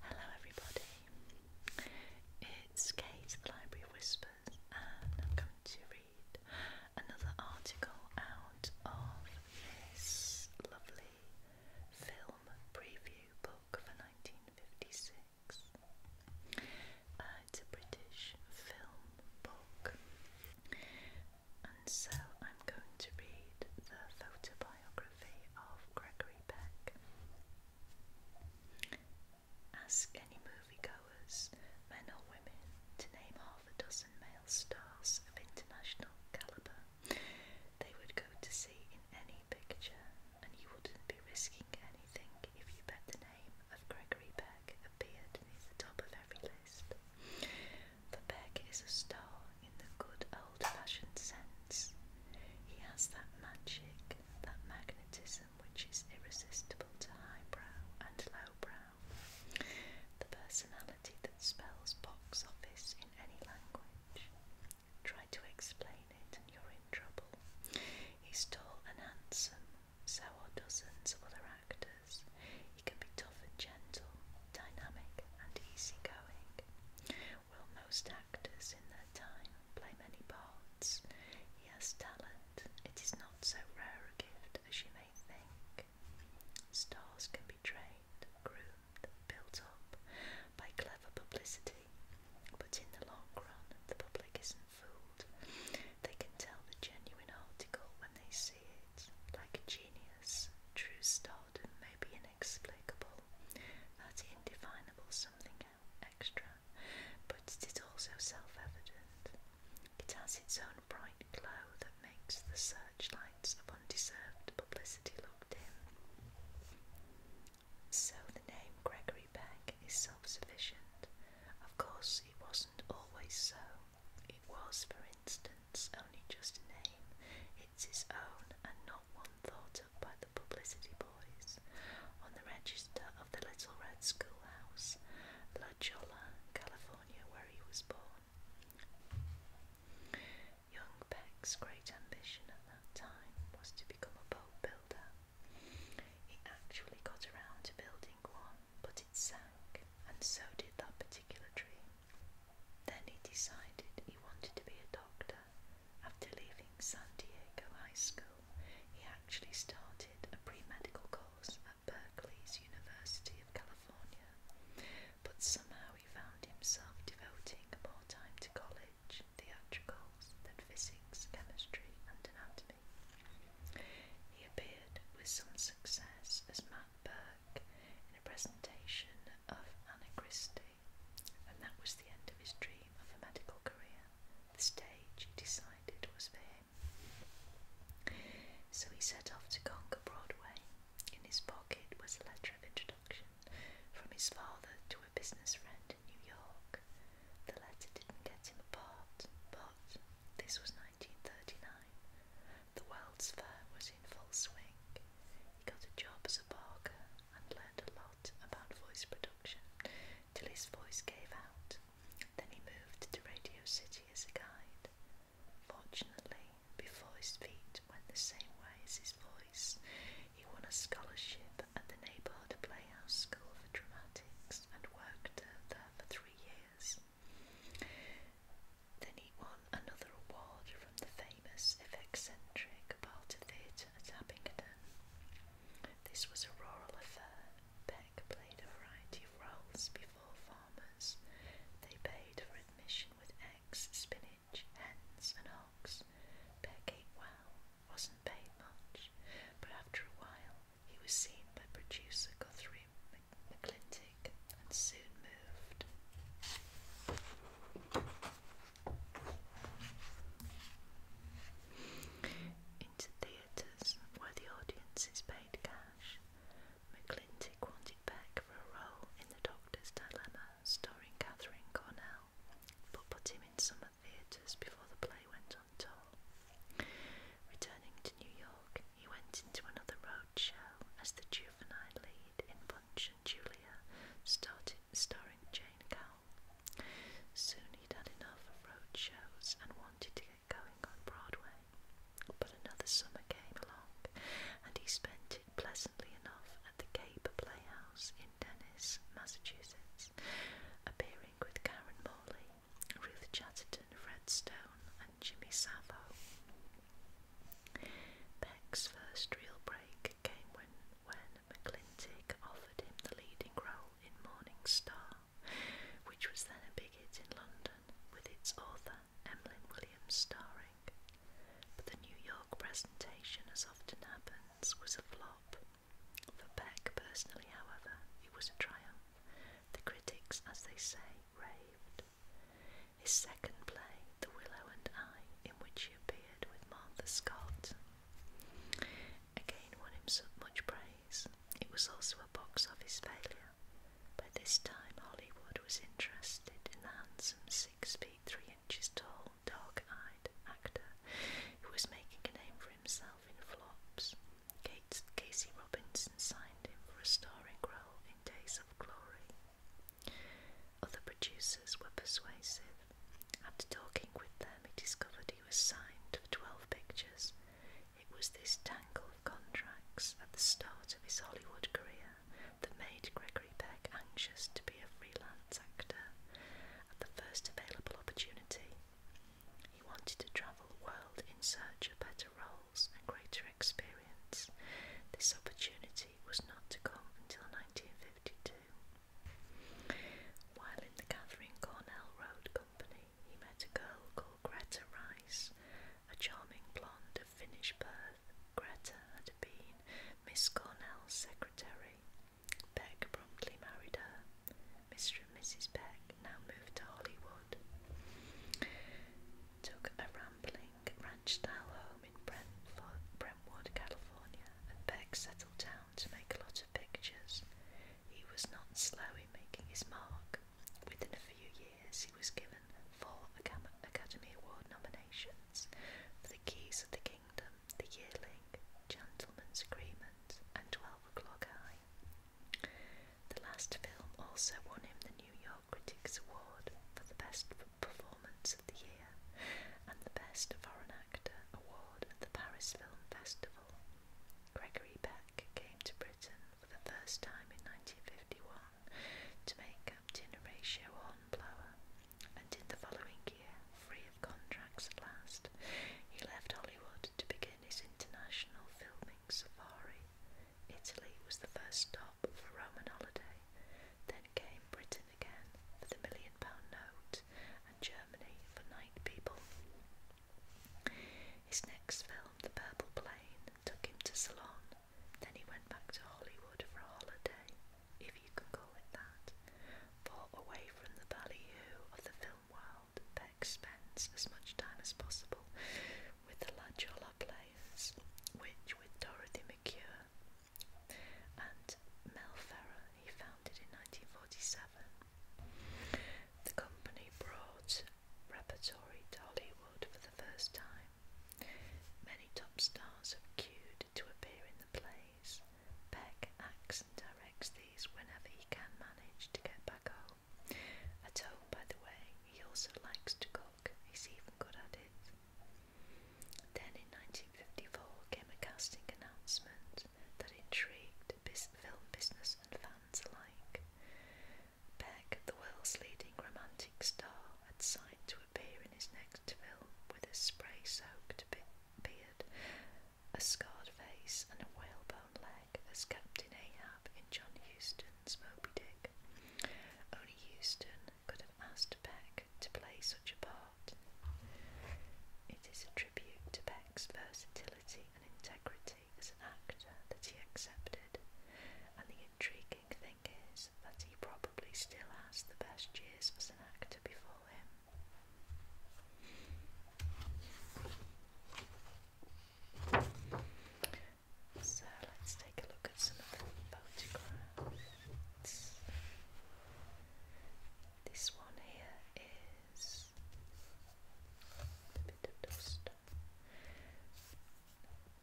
Hello, everybody. It's Kate, the Library Whispers, and I'm going to read another article out of this lovely film preview book for 1956. Uh, it's a British film book and so I'm going to read the photobiography of Gregory Peck. Ask any moviegoers, men or women, to name half a dozen male stars of international calibre they would go to see in any picture, and you wouldn't be risking anything if you bet the name of Gregory Peck appeared near the top of every list. The Beck is a star in the good old fashioned sense. He has that magic, that magnetism which is irresistible to highbrow and lowbrow. The personality that spells box office in any language. Try to explain it and you're in trouble. He's tall and handsome, so are dozens of other actors. He can be tough and gentle, dynamic and easygoing. While most actors in their time play many parts, he has talent. It is not so rare a gift as you may think. Stars can be trained, groomed, built up by clever publicity, but in the long run, the public isn't fooled. They can tell the genuine article when they see it see like a genius. True stardom maybe inexplicable, that's indefinable something extra, but it is also self evident. It has its own bright glow that makes the searchlights of undeserved publicity look dim. So the name Gregory Peck is self sufficient. Of course, it wasn't always so. It was, for instance, only just a name, it's his own and not one thought up by the publicity boys. On the register of the Little Red Schoolhouse, La Jolla, California, where he was born. Young Peck's great ambition at that time was to become a boat builder. He actually got around to building one but it sank, and so did that particular dream. Then he decided he wanted to be a doctor. After leaving San Diego High School, he actually started a pre medical course at Berkeley's University of California, but somehow he found himself devoting more time to college, theatricals, than physics, chemistry, and anatomy. He appeared with some success as Matt Burke in a presentation of Anna Christie, and that was the end of his dream of a medical career. The stage, he decided, was for him. So he set off to conquer Broadway. In his pocket was a letter of introduction from his father to a business friend in New York. The letter didn't get him a part, but this was 1939, the World's Fair was in full swing. He got a job as a barker and learned a lot about voice production till his voice gave out. Then he moved to Radio City as a guide. Fortunately, before his feet went the same way as his voice, he won a scholarship at the neighbourhood Playhouse School for Dramatics and worked there for three years. Then he won another award from the famous eccentric Balta Theatre at Abingdon. This was a rural affair. Beck played a variety of roles before farmers. They paid for admission with eggs, spinach, hens, and hogs. Beck ate well, wasn't paid much, but after a while he was seen by producer Guthrie McClintic and soon moved. Into theatres where the audience is paid cash, McClintic wanted back for a role in The Doctor's Dilemma starring Catherine Cornell, but put him in some theatres before the play went on tour. Returning to New York, he went into another roadshow as the juvenile lead in Punch and Julia, started, starring Jane Cowell. Soon he'd had enough of roadshows and wanted to get going on Broadway. But another summer came along, and he spent it pleasantly enough at the Cape Playhouse in Dennis, Massachusetts, appearing with Karen Morley Ruth Chatterton, Fred Stone, and Jimmy Savile. Beck's first real break came when, when offered him the leading role in Morning Star, which was then a big hit in London, with its author Emlyn Williams starring. But the New York presentation, as often happens, was a flop, for Beck personally, however, it was a triumph. The critics, as they say, raved. His second play, The Willow and I, in which he appeared with Martha Scott, again won him so much praise. It was also a box office failure. By this time, Hollywood was interested in the handsome six feet three inches tall, dark eyed actor who was making a name for himself in flops. Kate, Casey Robinson signed him for a starring role in Days of Glory. Other producers were persuasive. After talking with them, he discovered he was signed for 12 pictures. It was this tangle of contracts at the start of his Hollywood career that made Gregory Peck anxious to be a freelance actor. At the first available opportunity, he wanted to travel the world in search of better roles and greater experience. This opportunity was not to come until 1952. While in the Catherine Cornell Road Company, he met a girl called Greta Rice, a charming blonde of Finnish birth. Greta had been Miss Cornell's secretary Beck promptly married her. Mr. and Mrs. Beck now moved to Hollywood, took a rambling ranch-style home in Brentwood, California, and Beck settled down to make a lot of pictures. He was not slow in making his mark. Within a few years, he was given four Academy Award nominations for The Keys of the Kingdom, the Yearling, Gentleman's Agreement, and Twelve O'Clock High. The last film also won him the New York Critics Award for the Best Performance of the Year and the Best Foreign Actor Award at the Paris Film Festival. Gregory Peck came to Britain for the first time in 1951 to make Captain Horatio Hornblower, and in the following year, free of contracts at last, he left Hollywood to begin his international filming safari. Italy was the first stop for Roman holiday, then came Britain again for the million pound note and Germany for night people. His next film, The Purple Plane, took him to Salon. Then he went back to Hollywood for a holiday if you can call it that, for away from the ballyhoo of the film world, Beck spends as much time as possible with the La Jolla players, which with Dorothy McCure and Mel Ferrer he founded in 1947. The company brought repertory to Hollywood for the first time. Many top stars have queued to appear in the play, days. Peck acts and directs these whenever he can manage to get back home. At home, by the way, he also likes to cook, he's even good at it. Then in 1954 came a casting announcement that intrigued film business and fans alike. Beck, the world's leading romantic star, had signed to to appear in his next film with a spray soaked beard, a scarred face, and a whalebone leg as Captain Ahab in John Huston's Moby Dick. Only Houston could have asked Beck to play such a part. It is a tribute to Beck's versatility and integrity as an actor that he accepted, and the intriguing thing is that he probably still has the best years as an actor before him. So let's take a look at some of photographs. This one here is a bit of dust.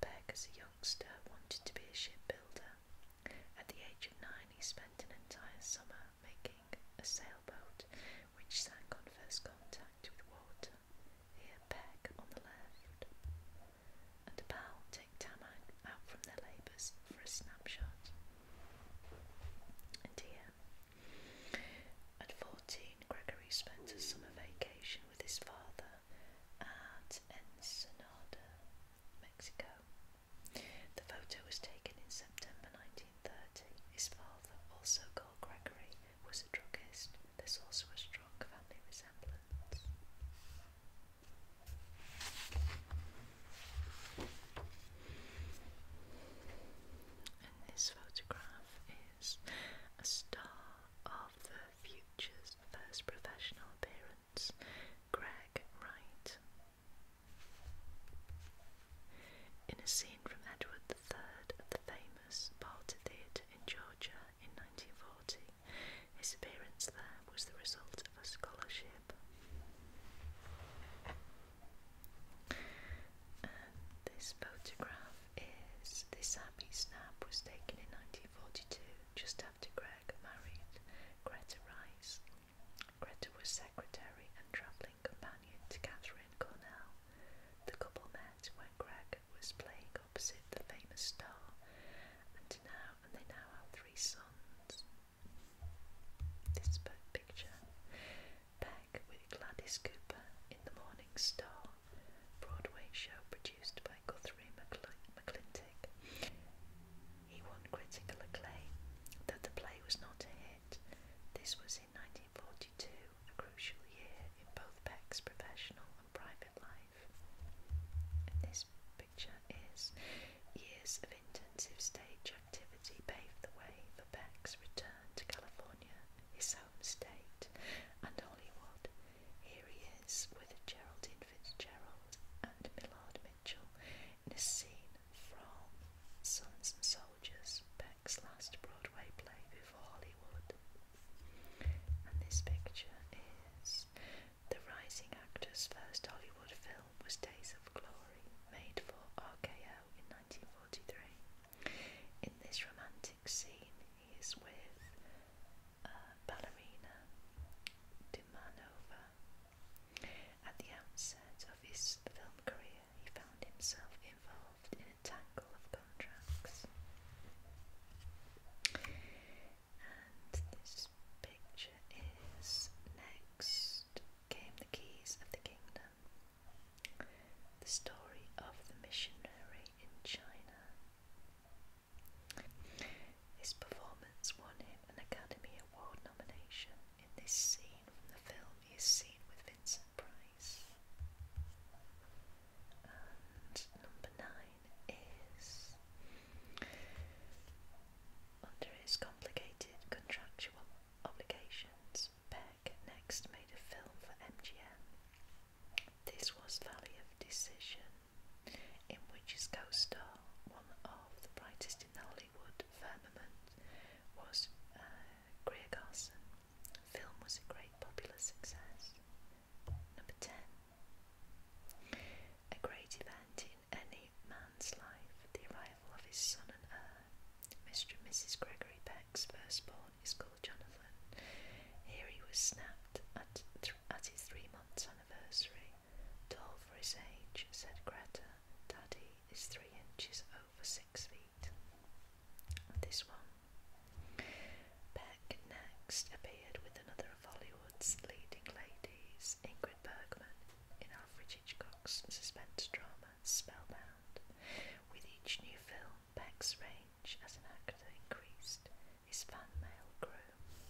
Beck, as a youngster, wanted to be a shipbuilder. At the age of nine, he spent an entire summer making a sailboat which sank on first contact with water, here Peck on the left. And a pal take Tamang out from their labours for a snapshot. And here, at 14, Gregory spent a summer vacation with his father at Ensenada, Mexico. The photo was taken in September 1930. His father, also called Gregory, was a druggist. There's also a strong family resemblance. And this photograph is a star of the Future's first professional appearance, Greg Wright. In a scene from Edward III at the famous Balti Theatre in Georgia in 1940, his appearance there was the result of a scholarship. this photograph is this happy snap was taken in 1942, just after Greg married Greta Rice. Greta was secretary and travelling companion to Catherine Cornell. The couple met when Greg was playing opposite the famous star, and now and they now have three sons. This picture, Back with Gladys Cooper in the Morning Star, Broadway show produced by Guthrie McClintock. He won critical acclaim, though the play was not a hit. This was in 1942, a crucial year in both Beck's professional and private life. And this picture is years of intensive stage activity paved the way for Beck's return to California, his home state, and Hollywood. Here he is with Geraldine Fitzgerald and Millard Mitchell in a scene from Sons and Soldiers, Beck's last Broadway play before Hollywood. And this picture is the rising actor's first Hollywood film was Days of Glory, made for RKO in 1943. In this romantic scene, he's with uh, ballerina Dumanova. At the outset of his film career, he found himself involved in a tangle of contracts. And this picture is next came the keys of the kingdom. The story of the missionary in China. His performance won him an Academy Award nomination in this scene from the film he is seen with Vincent Price. And number nine is under his complicated contractual obligations, Douglas next made a film for MGM. This was Valley of Decision, in which his co-star, one of the brightest in the Hollywood firmament, was uh, Greer Garson. film was a great popular success. Number 10. A great event in any man's life, the arrival of his son and heir, Mr. and Mrs. Gregory Beck's firstborn. He's called Jonathan. Here he was snapped at, at his three months anniversary. Tall for his age, said Greta. Daddy is three inches over six feet. this one. Beck next appeared with another of Hollywood's leading ladies, Ingrid Bergman, in Alfred Hitchcock's suspense drama Spellbound. With each new film, Beck's range as an actor increased, his fan mail grew.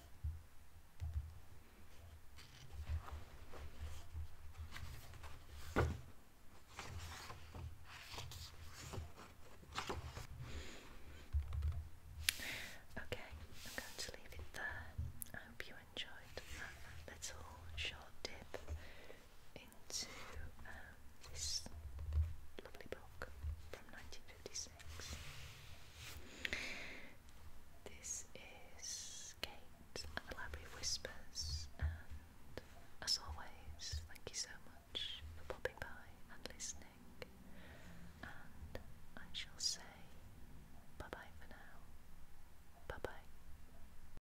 Okay, I'm going to leave it there. I hope you enjoyed that little short dip into this lovely book from 1956. This is Kate and the Library Whispers, and as always, thank you so much for popping by and listening. And I shall say bye bye for now. Bye bye.